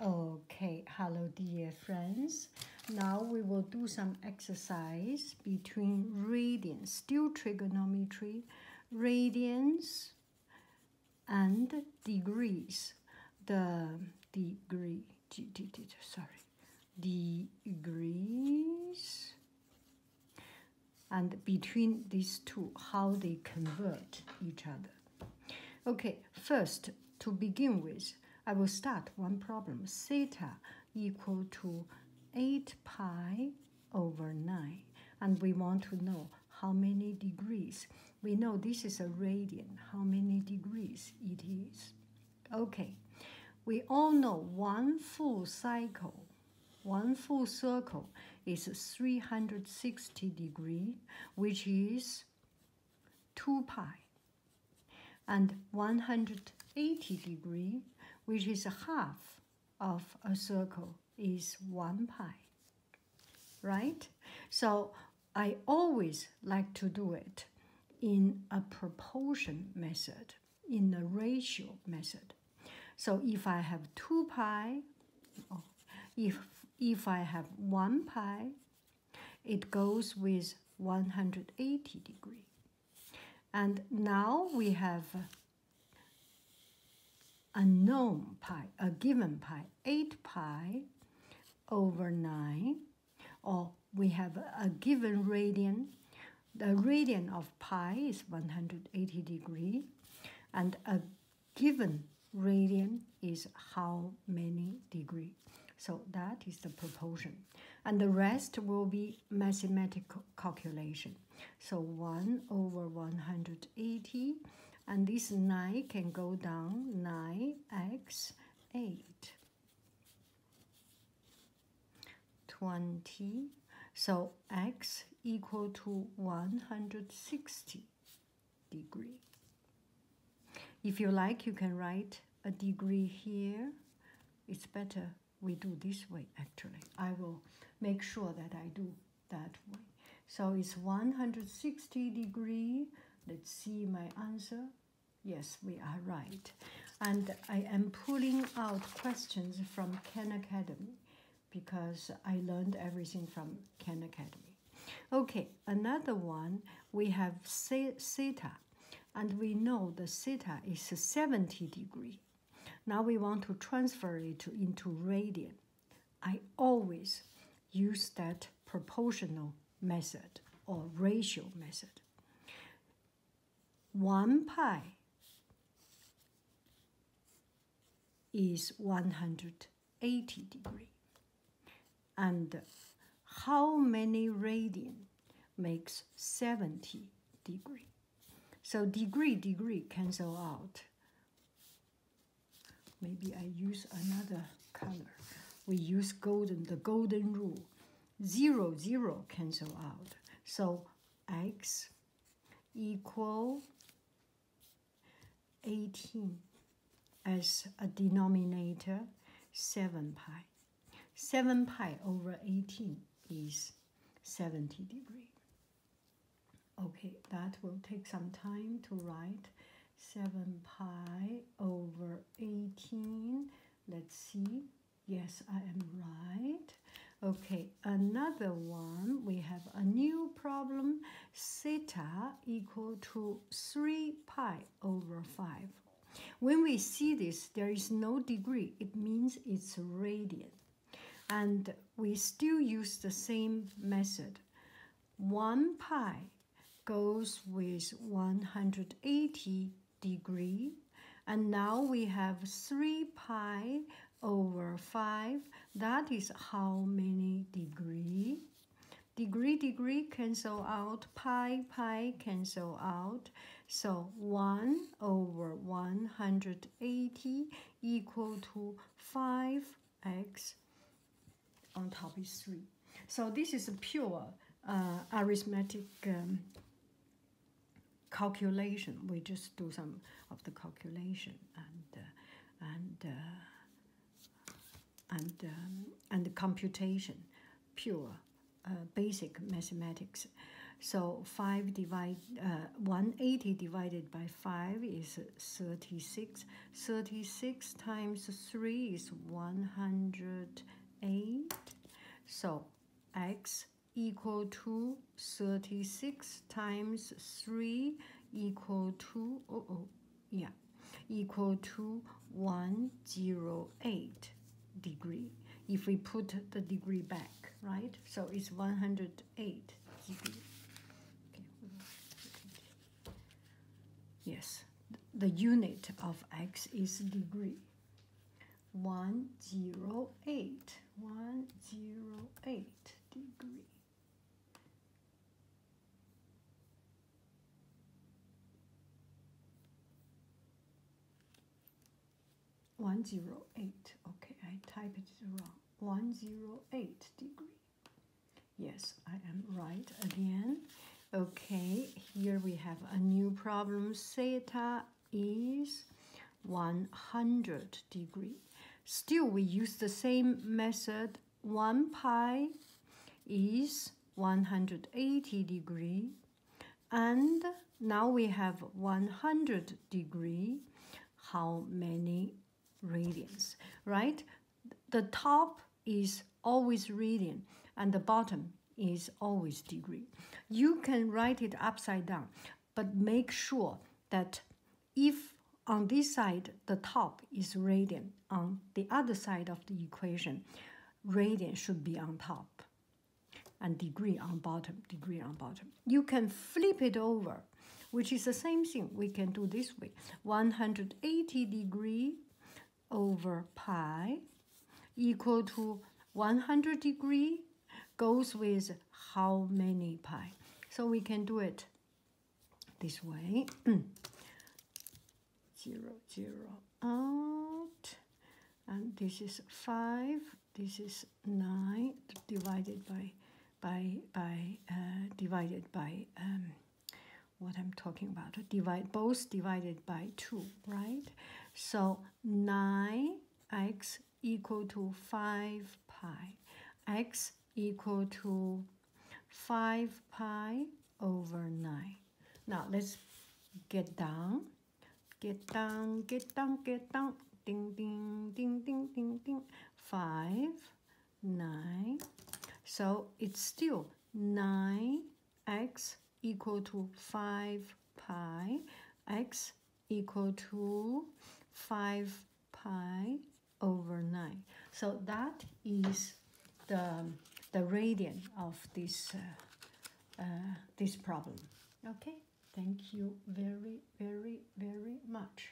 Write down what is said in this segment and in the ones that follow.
Okay, hello dear friends. Now we will do some exercise between radians, still trigonometry, radians and degrees. The degree, sorry, degrees and between these two, how they convert each other. Okay, first, to begin with, I will start one problem. Theta equal to 8 pi over 9. And we want to know how many degrees. We know this is a radian, how many degrees it is. Okay, we all know one full cycle, one full circle is 360 degree, which is minus 2 pi and 180 degree which is a half of a circle is 1 pi right so i always like to do it in a proportion method in a ratio method so if i have 2 pi if, if I have 1 pi, it goes with 180 degree. And now we have a known pi, a given pi, 8 pi over 9, or we have a given radian. The radian of pi is 180 degree, and a given radian is how many degree. So that is the proportion. And the rest will be mathematical calculation. So 1 over 180. And this 9 can go down 9x 8. 20. So x equal to 160 degree. If you like, you can write a degree here. It's better we do this way actually. I will make sure that I do that way. So it's 160 degree. Let's see my answer. Yes, we are right. And I am pulling out questions from Khan Academy because I learned everything from Khan Academy. Okay, another one we have theta, and we know the theta is 70 degree. Now we want to transfer it into radian. I always use that proportional method or ratio method. 1 pi is 180 degree. And how many radian makes 70 degree? So degree, degree cancel out. Maybe I use another color. We use golden, the golden rule. Zero, zero cancel out. So x equal 18 as a denominator 7 pi. 7 pi over 18 is 70 degree. Okay, that will take some time to write. 7 pi over 18. Let's see. Yes, I am right. Okay, another one, we have a new problem, theta equal to 3 pi over 5. When we see this, there is no degree. It means it's radian. And we still use the same method. 1 pi goes with 180 degree. And now we have 3 pi over 5. That is how many degree? Degree, degree cancel out. Pi, pi cancel out. So 1 over 180 equal to 5x on top is 3. So this is a pure uh, arithmetic um, calculation. We just do some of the calculation and uh, and uh, and um, and computation, pure uh, basic mathematics. So five divide one eighty divided by five is thirty six. Thirty six times three is one hundred eight. So x equal to 36 times 3 equal to, oh, oh, yeah, equal to 108 degree. If we put the degree back, right? So it's 108 degree. Yes, the unit of x is degree. 108 one zero eight degree. One zero eight. Okay, I typed it wrong. One zero eight degree. Yes, I am right again. Okay, here we have a new problem, theta is 100 degree. Still, we use the same method. 1 pi is 180 degree. And now we have 100 degree. How many radians, right? The top is always radian and the bottom is always degree. You can write it upside down but make sure that if on this side the top is radian, on the other side of the equation, radian should be on top and degree on bottom, degree on bottom. You can flip it over, which is the same thing we can do this way. 180 degree over pi equal to 100 degree goes with how many pi. So we can do it this way. zero, zero out. And this is 5. This is 9 divided by, by, by, uh, divided by, um, what I'm talking about. Divide both divided by 2, right? So 9x equal to 5 pi. x equal to 5 pi over 9. Now let's get down. Get down, get down, get down. Ding, ding, ding, ding, ding, ding. 5, 9. So it's still 9x equal to 5 pi x equal to 5 pi over 9. So that is the, the radian of this, uh, uh, this problem. Okay, thank you very, very, very much.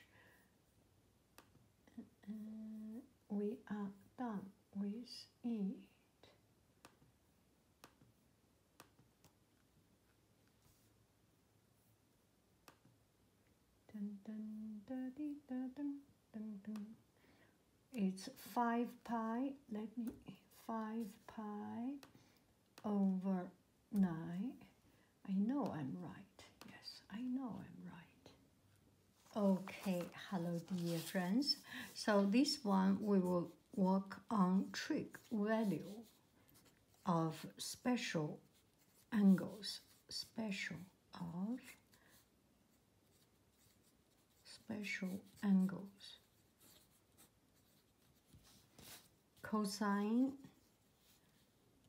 Uh, we are done with it. Dun, dun, da, dee, da, dun, It's 5 pi, let me, 5 pi over 9. I know I'm right. Yes, I know I'm right. Okay, hello dear friends. So this one we will work on trig value of special angles, special of special angles. Cosine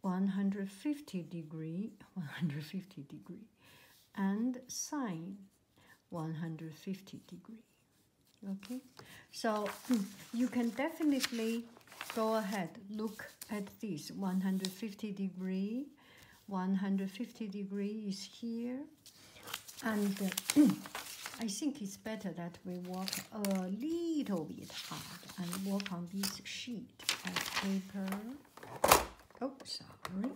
150 degree, 150 degree, and sine 150 degree. Okay, so you can definitely go ahead, look at this 150 degree. 150 degree is here. And I think it's better that we work a little bit hard and work on this sheet of paper. Oh, sorry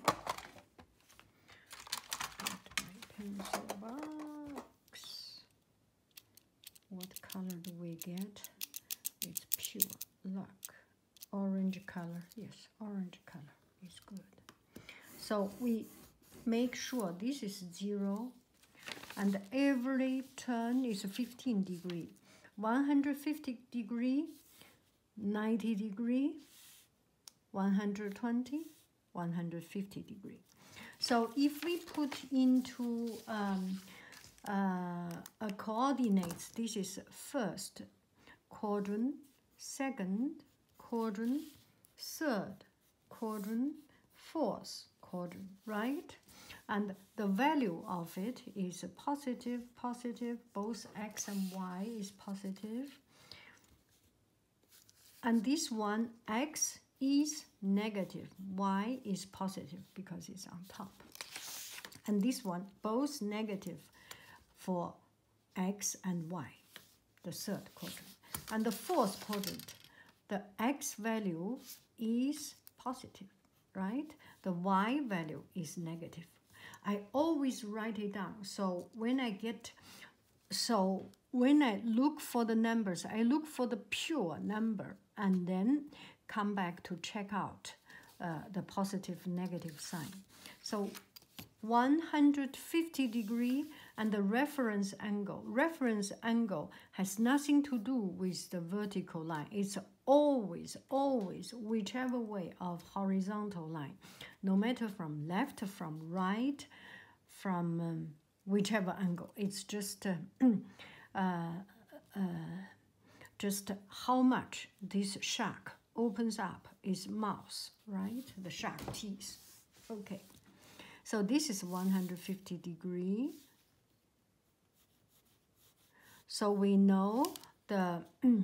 pencil box. What color do we get? It's pure luck. Orange color, yes, orange color is good. So we make sure this is zero and every turn is 15 degree. 150 degree, 90 degree, 120, 150 degree. So if we put into um, uh, a coordinates, this is first quadrant, second quadrant, third quadrant, fourth quadrant, right? And the value of it is positive, positive, both x and y is positive and this one x is negative y is positive because it's on top and this one both negative for x and y the third quadrant and the fourth quadrant the x value is positive right the y value is negative i always write it down so when i get so when I look for the numbers, I look for the pure number and then come back to check out uh, the positive negative sign. So 150 degree and the reference angle. Reference angle has nothing to do with the vertical line. It's always, always whichever way of horizontal line no matter from left, from right, from um, whichever angle. It's just uh, uh, uh, just how much this shark opens up its mouth, right? The shark teeth. Okay, so this is 150 degree. So we know the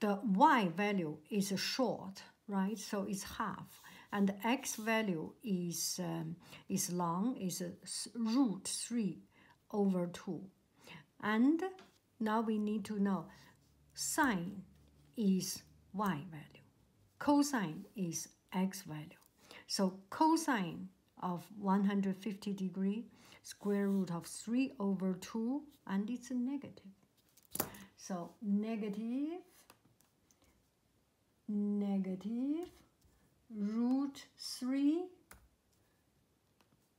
the y value is short, right? So it's half. And the x value is, um, is long, is uh, root 3 over 2. And now we need to know sine is y value, cosine is x value. So cosine of 150 degree, square root of 3 over 2 and it's a negative. So negative, negative root 3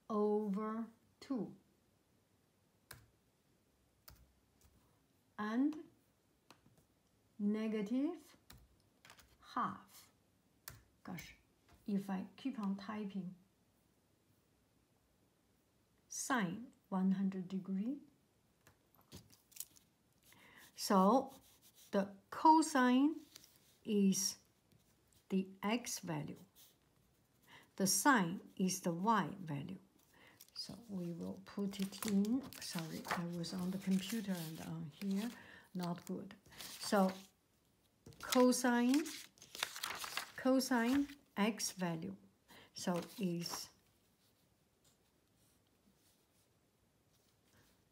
over 2. And negative half. Gosh, if I keep on typing, sine 100 degree. So the cosine is the x value. The sine is the y value. So we will put it in. Sorry, I was on the computer and on uh, here. Not good. So cosine, cosine x value. So is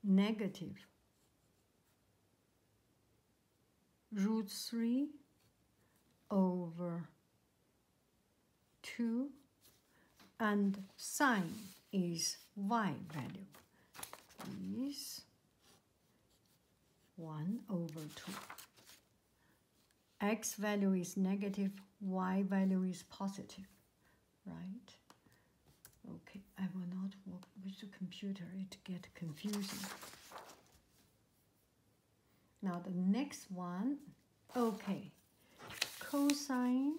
negative root 3 over 2 and sine is y value is 1 over 2. x value is negative, y value is positive, right? Okay, I will not work with the computer, it get confusing. Now the next one, okay, cosine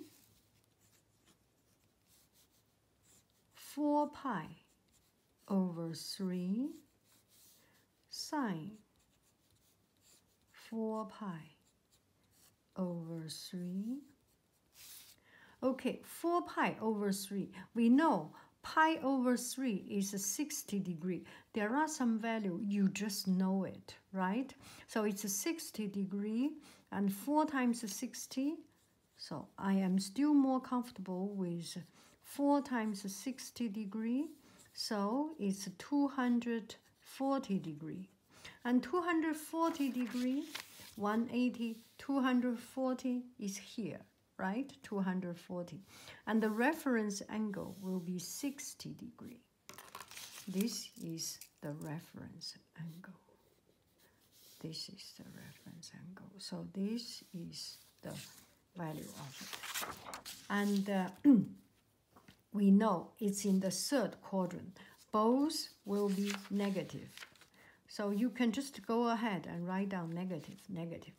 4 pi over 3 sine 4 pi over 3. Okay, 4 pi over 3. We know pi over 3 is a 60 degree. There are some value, you just know it, right? So it's a 60 degree, and 4 times a 60 so I am still more comfortable with 4 times 60 degree. So it's 240 degree. And 240 degree, 180, 240 is here, right? 240. And the reference angle will be 60 degree. This is the reference angle. This is the reference angle. So this is the value of it. And uh, we know it's in the third quadrant. Both will be negative. So you can just go ahead and write down negative,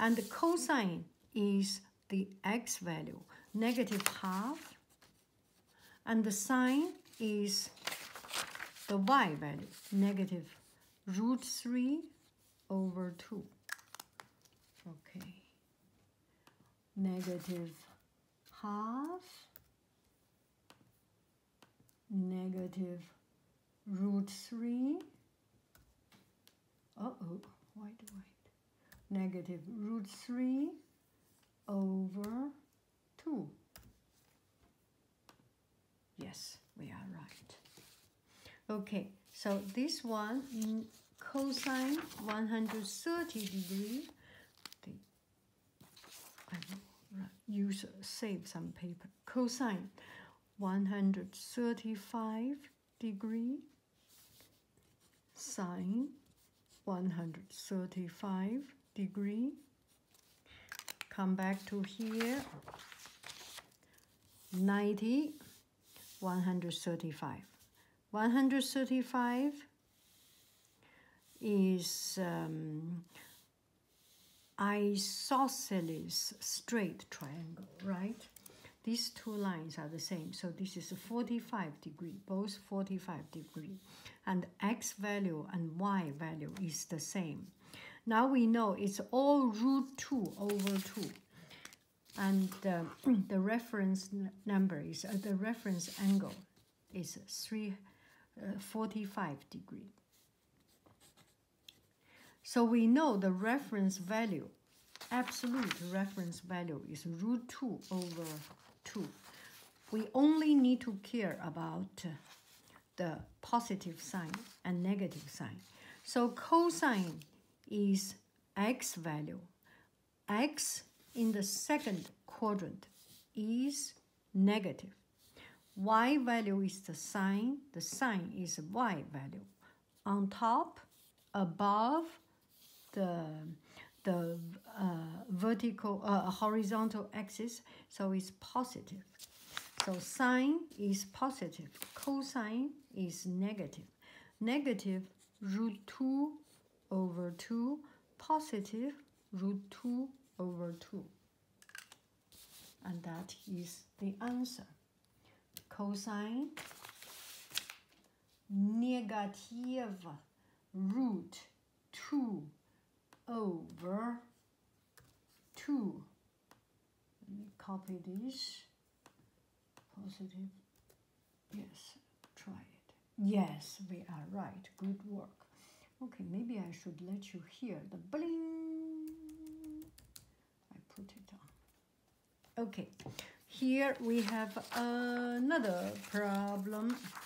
And the cosine is the x value, negative half. And the sine is the y value, negative root 3 over 2. Okay. Negative half, negative root 3. Uh-oh, why do Negative root 3 over 2. Yes, we are right. Okay, so this one, cosine 130 degree, the, I will use, save some paper, cosine 135 degree, sine 135 degree come back to here 90 135 135 is um, isosceles straight triangle right these two lines are the same so this is 45 degree both 45 degree and x value and y value is the same now we know it's all root 2 over 2. And um, the reference number is, uh, the reference angle is 345 uh, degree. So we know the reference value, absolute reference value is root 2 over 2. We only need to care about the positive sign and negative sign. So cosine is x value. x in the second quadrant is negative. y value is the sign. The sign is y value. On top, above the, the uh, vertical, uh, horizontal axis so it's positive. So sine is positive. Cosine is negative. Negative root 2 over 2. Positive root 2 over 2. And that is the answer. Cosine negative root two over two. Let me copy this. Positive. Yes, try it. Yes, we are right. Good work. Okay, maybe I should let you hear the bling. I put it on. Okay, here we have another problem.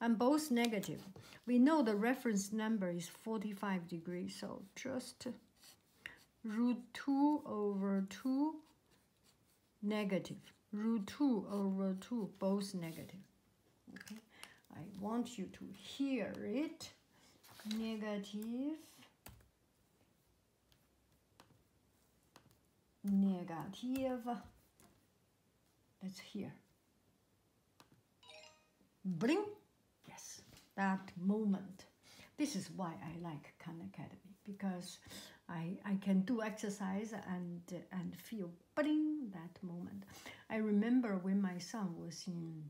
and both negative. We know the reference number is 45 degrees, so just root 2 over 2 negative. Root 2 over 2, both negative. Okay, I want you to hear it. Negative. Negative. Let's hear. Bling! Yes, that moment. This is why I like Khan Academy because I, I can do exercise and, and feel bling that moment. I remember when my son was in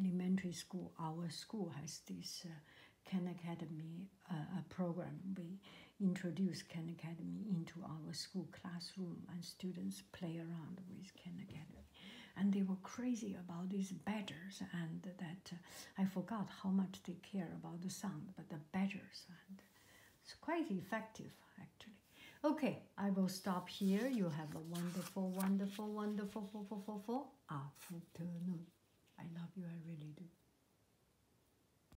elementary school, our school has this uh, Khan Academy uh, program. We introduce Ken Academy into our school classroom and students play around with Ken Academy. And they were crazy about these badgers and that uh, I forgot how much they care about the sound, but the badgers and it's quite effective actually. Okay, I will stop here. You have a wonderful, wonderful, wonderful, four, four, four, four afternoon. I love you, I really do.